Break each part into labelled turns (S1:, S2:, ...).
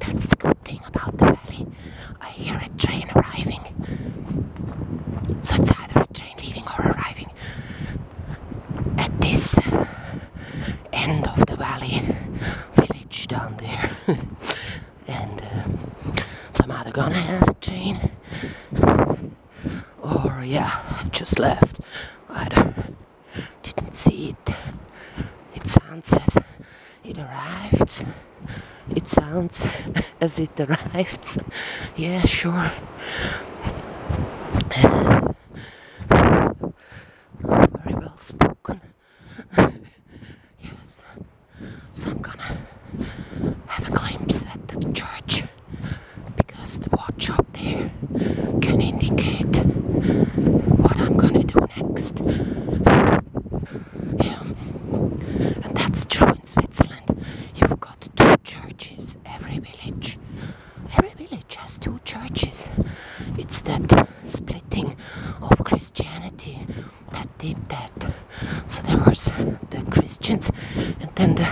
S1: That's the good thing about the valley. I hear a train arriving. So it's either a train leaving or arriving at this uh, end of the valley village down there. and um, some other gun has a chain. Or yeah, just left. I didn't see it. It sounds as it arrived. It sounds as it arrived. Yeah, sure. Very well spoken. yes. So I'm gonna have a glimpse at the church because the watch up there can indicate what I'm gonna do next. Um, and that's true in Switzerland. You've got two churches every village. Every village has two churches. It's that splitting of Christianity that did that. So there was the Christians and then the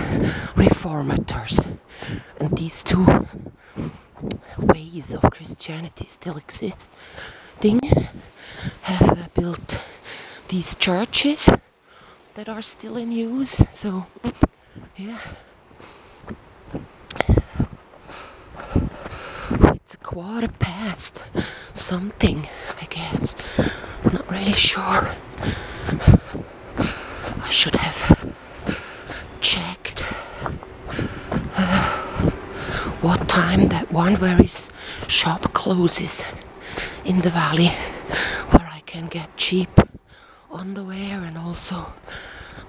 S1: reformators. And these two ways of Christianity still exist. existing have uh, built these churches that are still in use. So, yeah. It's a quarter past something, I guess. I'm not really sure. I should have checked uh, what time that one where his shop closes in the valley, where I can get cheap underwear and also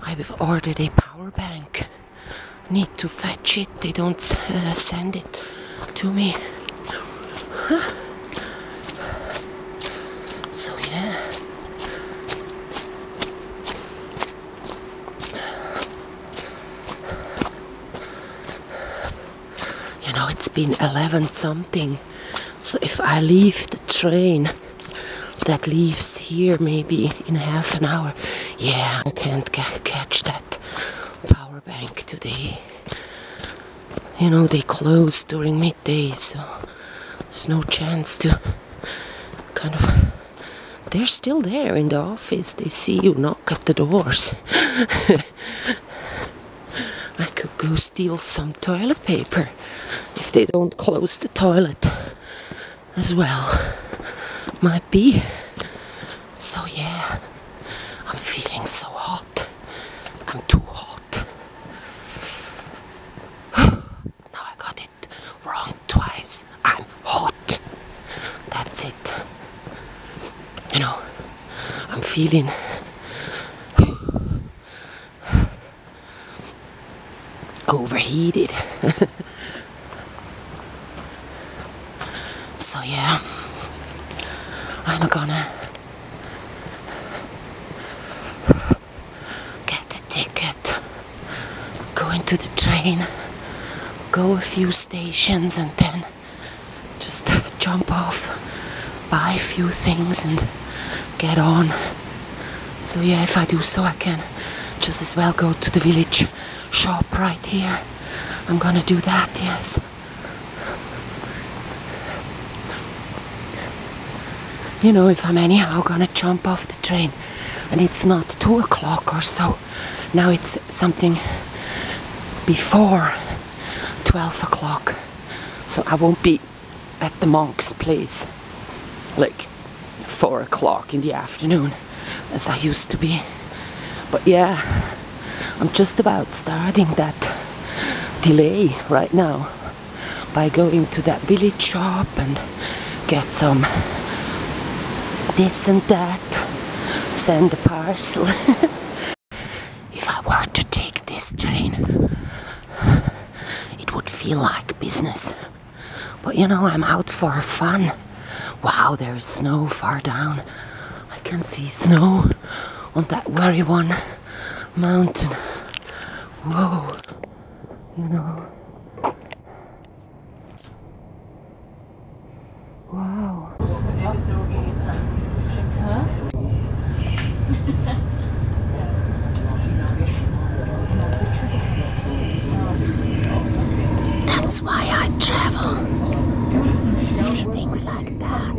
S1: I've ordered a power bank. Need to fetch it they don't uh, send it to me. So yeah. You know, it's been 11 something. So if I leave the train that leaves here maybe in half an hour, yeah, I can't catch that power bank today. You know, they close during midday, so there's no chance to kind of. They're still there in the office, they see you knock at the doors. I could go steal some toilet paper if they don't close the toilet as well. Might be so yeah, I'm feeling so hot. I'm too hot. now I got it wrong twice. I'm hot. That's it. You know, I'm feeling overheated. So yeah, I'm gonna get a ticket, go into the train, go a few stations and then just jump off, buy a few things and get on. So yeah, if I do so I can just as well go to the village shop right here. I'm gonna do that, yes. You know, if I'm anyhow gonna jump off the train and it's not two o'clock or so, now it's something before 12 o'clock, so I won't be at the monk's place like four o'clock in the afternoon as I used to be. But yeah, I'm just about starting that delay right now by going to that village shop and get some this and that, send the parcel. if I were to take this train, it would feel like business. But you know, I'm out for fun. Wow, there is snow far down. I can see snow on that very one mountain. Whoa, you know. Wow. That's why I travel. See things like that.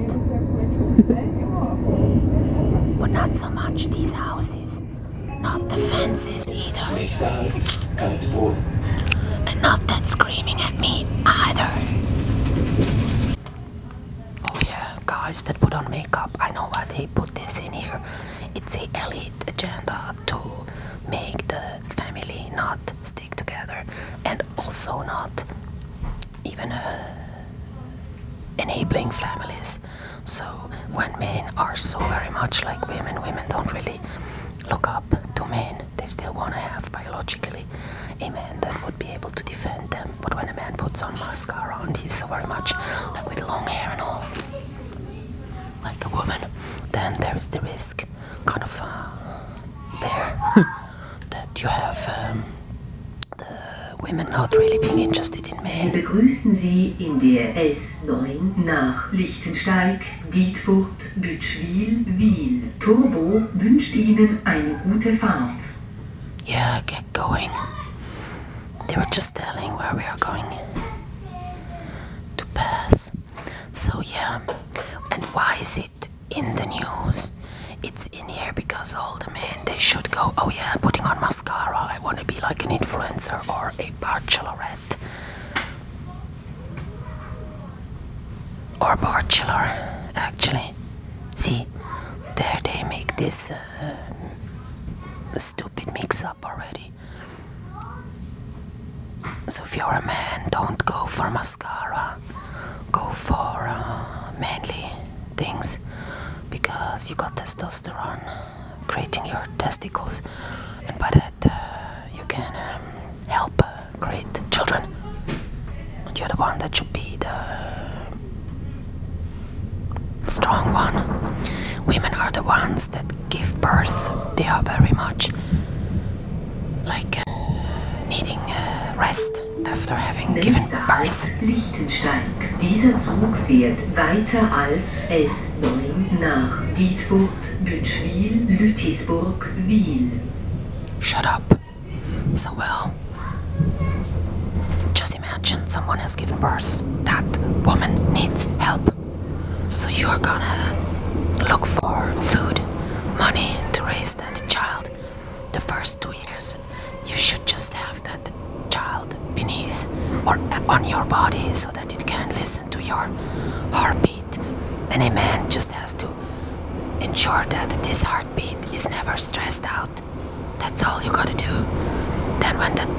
S1: but not so much these houses. Not the fences either. And not that screaming at me either oh, that put on makeup. I know why they put this in here. It's the elite agenda to make the family not together and also not even uh, enabling families. So when men are so very much like women, women don't really look up to men. They still want to have biologically a man that would be able to defend them. But when a man puts on mascara and he's so very much like with long hair and all, like a woman, then there is the risk kind of uh, bear that you have um, the women not really being interested in men. Begrüßen Sie in der S9 nach Lichtensteig, Dietfurt, Bütschwil, Wiel. Turbo wünscht Ihnen eine gute Fahrt. Yeah, get going. They were just telling where we are going to pass. So yeah, and why is it in the news? It's in here because all the men they should go. Oh yeah, putting on mascara. I want to be like an influencer or a bachelorette or bachelor. Actually, see, there they make this uh, stupid mix-up already. So if you're a man, don't go for mascara. Go for uh, manly things because you got testosterone creating your testicles, and by that uh, you can um, help uh, create children. you're the one that should be the strong one. Women are the ones that give birth, they are very much like uh, needing uh, rest after having given birth. Lichtenstein. Dieser Zug fährt weiter als S9 to Dietfurt, Bütschwil, Lütisburg, Wiel. Shut up. So well. Just imagine someone has given birth. That woman needs help. So you are gonna look for food, money to raise that child. The first two years, you should just have that child beneath or on your body so that it can listen to your heartbeat. And a man just has to ensure that this heartbeat is never stressed out. That's all you gotta do. Then when that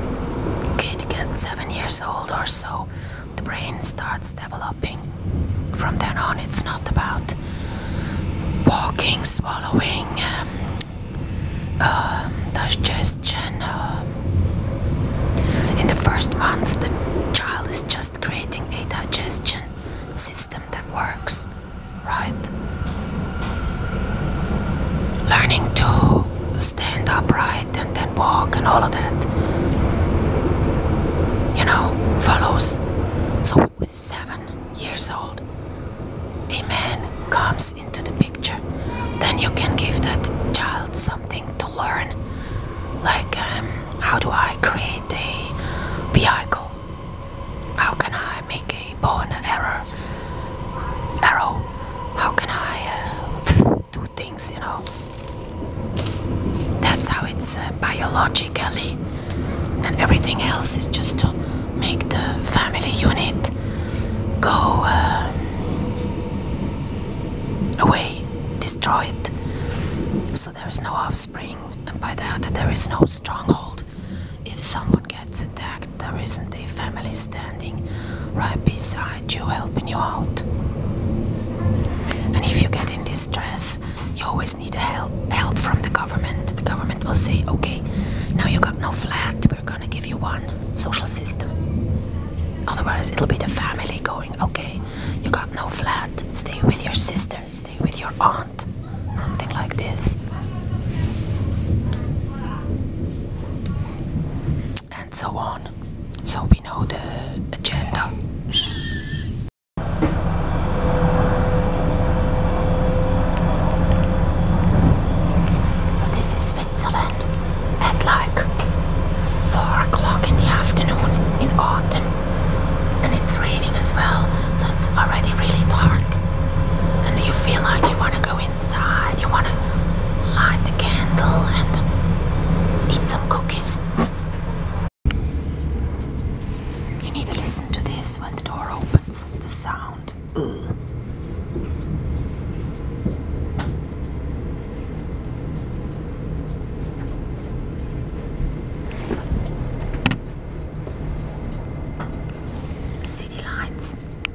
S1: kid gets seven years old or so, the brain starts developing. From then on, it's not about walking, swallowing, um, um, digestion. Uh. in the first months, the child is just creating a digestion system that works, right? Learning to stand upright and then walk and all of that. You know, follows. So, with seven years old, a man comes into the picture. Then you can give that child something to learn, like um, how do I create a vehicle? How can I make a bow and arrow? Arrow? How can I uh, do things, you know. That's how it's uh, biologically, and everything else is just to make the family unit go uh, away, destroy it. So there is no offspring, and by that, there is no stronghold. If someone gets attacked, there isn't a family stand right beside you, helping you out. And if you get in distress, you always need help help from the government. The government will say, okay, now you got no flat, we're gonna give you one social system. Otherwise, it'll be the family going, okay, you got no flat, stay with your sister, stay with your aunt, something like this. And so on. So we know the agenda. So this is Switzerland at like 4 o'clock in the afternoon in autumn and it's raining as well so it's already really dark and you feel like you want to go in you want to light the candle and eat some cookies. You need to listen to this when the door opens. The sound. City lights.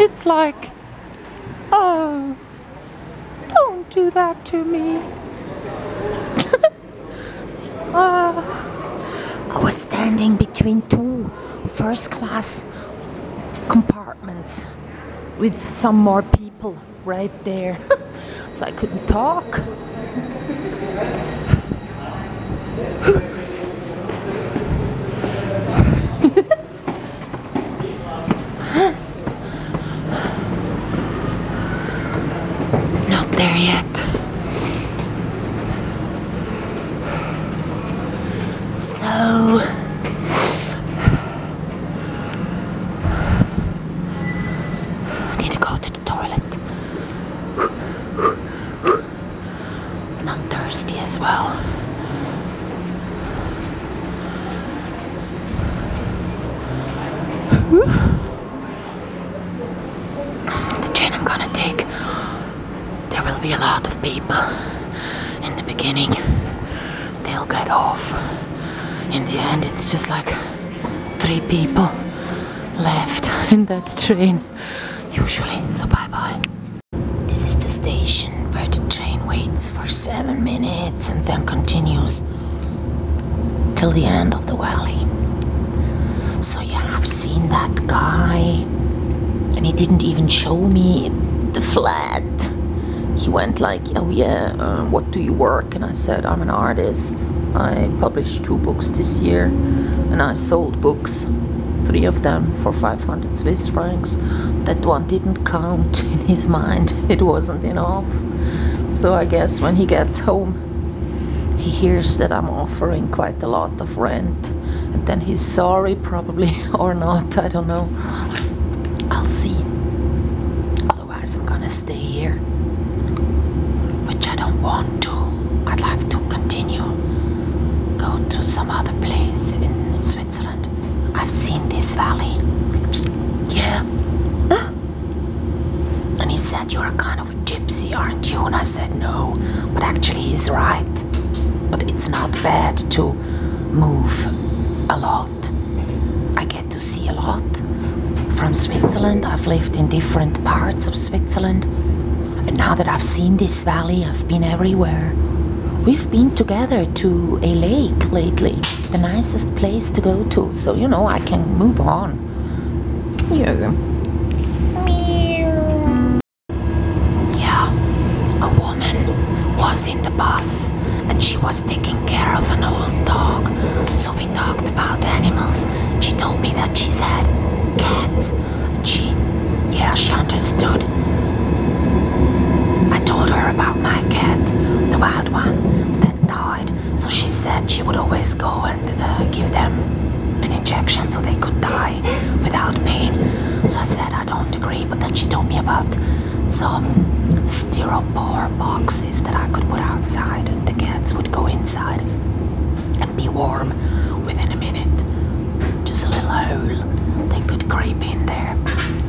S1: it's like, oh, don't do that to me. uh, I was standing between two first class compartments with some more people right there. so I couldn't talk. Not there yet. So... I need to go to the toilet. And I'm thirsty as well. The train I'm gonna take, there will be a lot of people in the beginning. They'll get off. In the end, it's just like three people left in that train, usually. So, bye bye. This is the station where the train waits for seven minutes and then continues till the end of the valley. So you have seen that guy and he didn't even show me the flat. He went like, oh yeah, uh, what do you work? And I said, I'm an artist. I published two books this year and I sold books three of them for 500 Swiss francs. That one didn't count in his mind, it wasn't enough. So I guess when he gets home, he hears that I'm offering quite a lot of rent. And then he's sorry, probably, or not, I don't know. I'll see. Otherwise, I'm gonna stay here, which I don't want to. I'd like to continue go to some other place in Switzerland. I've seen this valley. Yeah. Huh? And he said, You're a kind of a gypsy, aren't you? And I said, No. But actually, he's right. But it's not bad to move a lot. I get to see a lot. From Switzerland, I've lived in different parts of Switzerland. And now that I've seen this valley, I've been everywhere. We've been together to a lake lately, the nicest place to go to, so you know I can move on. Yeah. Yeah, a woman was in the bus and she was taking care of an old dog. So we talked about animals. She told me that she's had cats and she, yeah, she understood. I told her about my cat, the wild one that died. So she said she would always go and uh, give them an injection so they could die without pain. So I said I don't agree, but then she told me about some styropor boxes that I could put outside and the cats would go inside and be warm within a minute. Just a little hole they could creep in there.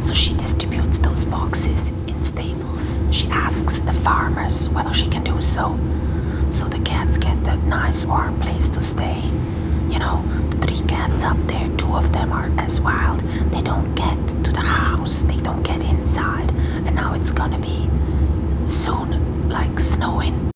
S1: So she distributes those boxes in stables. She asks the farmers whether she can do so. So the cats get a nice warm place to stay. You know, the three cats up there, two of them are as wild. They don't get to the house, they don't get inside. And now it's gonna be soon like snowing.